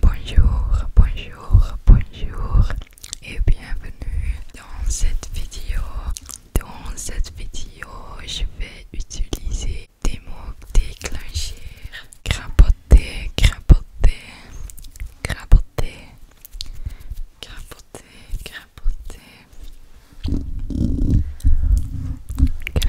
Bonjour, bonjour, bonjour et bienvenue dans cette vidéo. Dans cette vidéo, je vais utiliser des mots déclenchés. Crapoter, crapoter, graboter, crapoter, crapoter, crapoter, crapoter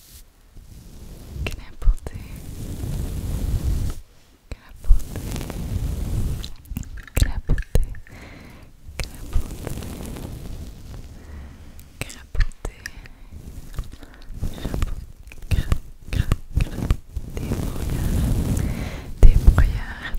Crapoter I débrouillard,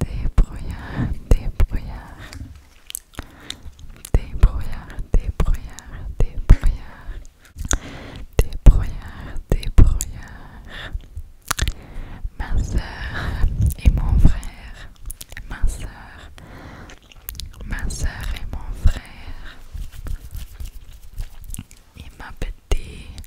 Débrouillard, débrouillard. Débrouillard, débrouillard, débrouillard. Débrouillard, débrouillard. Ma sœur et mon frère. Ma soeur. Ma soeur et mon frère. Et ma petite.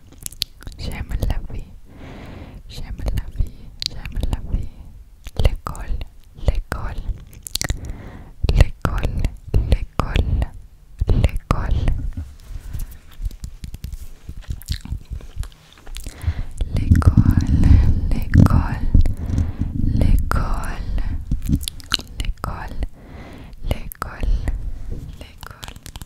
j'aime la vie, j'aime la vie, j'aime la vie. L'école, l'école, l'école, l'école, l'école. L'école, l'école, l'école, l'école, l'école, l'école.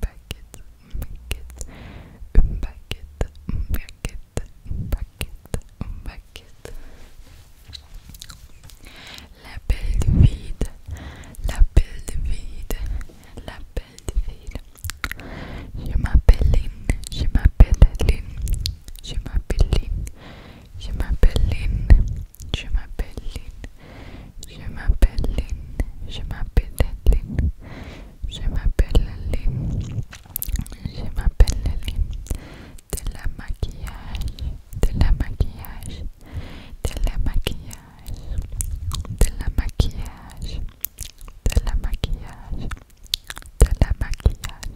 packet, packet, packet, packet, packet, packet. La belle vide, la belle vide, la belle vide. Je m'appelle Lynn, je m'appelle Lynn, je m'appelle Lynn, je m'appelle Lynn, je m'appelle Lynn. Je m'appelle Lynn. Je m'appelle Lynn. Je m'appelle Lynn. Je m'appelle Lynn. De la maquillage. De la maquillage. De la maquillage. De la maquillage. De la maquillage. De la maquillage.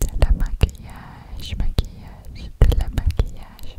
De la maquillage. Maquillage. De la maquillage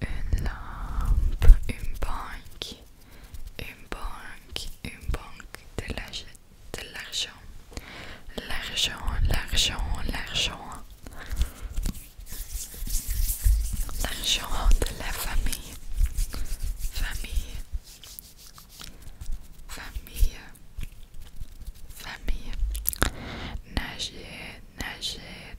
une lampe, une banque, une banque, une banque, de l'argent, l'argent, l'argent, l'argent, l'argent de la famille, famille, famille, famille, nager, nager,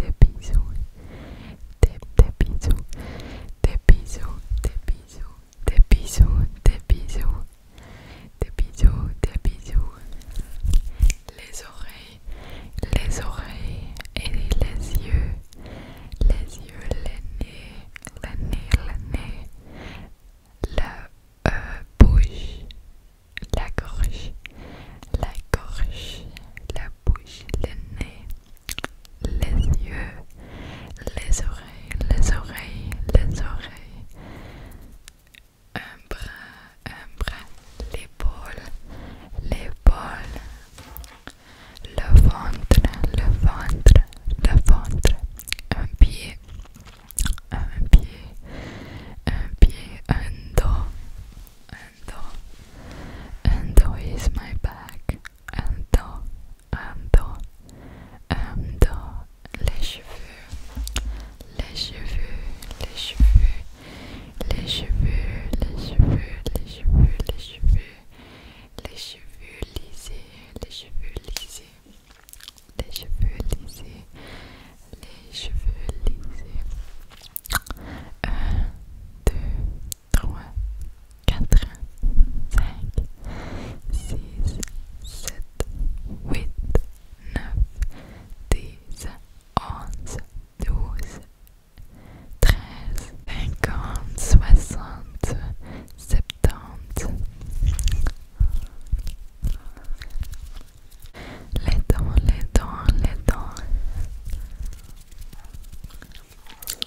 des bisous, des, bisous, des bisous, des bisous, des bisous, des bisous, des bisous, des bisous, les oreilles, les oreilles et les yeux, les yeux, les nez, les nez, la euh, bouche, la gorge, la gorge, la bouche, les nez, les yeux, les oreilles, les oreilles, les oreilles, un bras, un bras, l'épaule, l'épaule, le ventre, le ventre, le ventre, un pied, un pied, un pied, un dos, and do is my back and do and do and do les cheveux les cheveux les cheveux les cheveux les cheveux les cheveux les cheveux les cheveux lisés les cheveux lisés les cheveux lisés les cheveux lisés 1, 2, 3, 4, 5, 6, 7, 8, 9, 10, 11, 12, 13, 50, 60, 70. Les dents, les dents, les dents.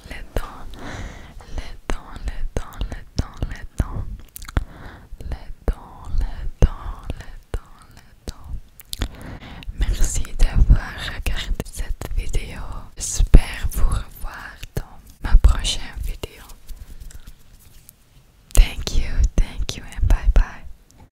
Les dents, les dents, les dents, les dents, les dents. Les dents, les dents, les Merci d'avoir regardé cette vidéo. J'espère vous revoir dans ma prochaine vidéo. Thank you, thank you, and bye bye.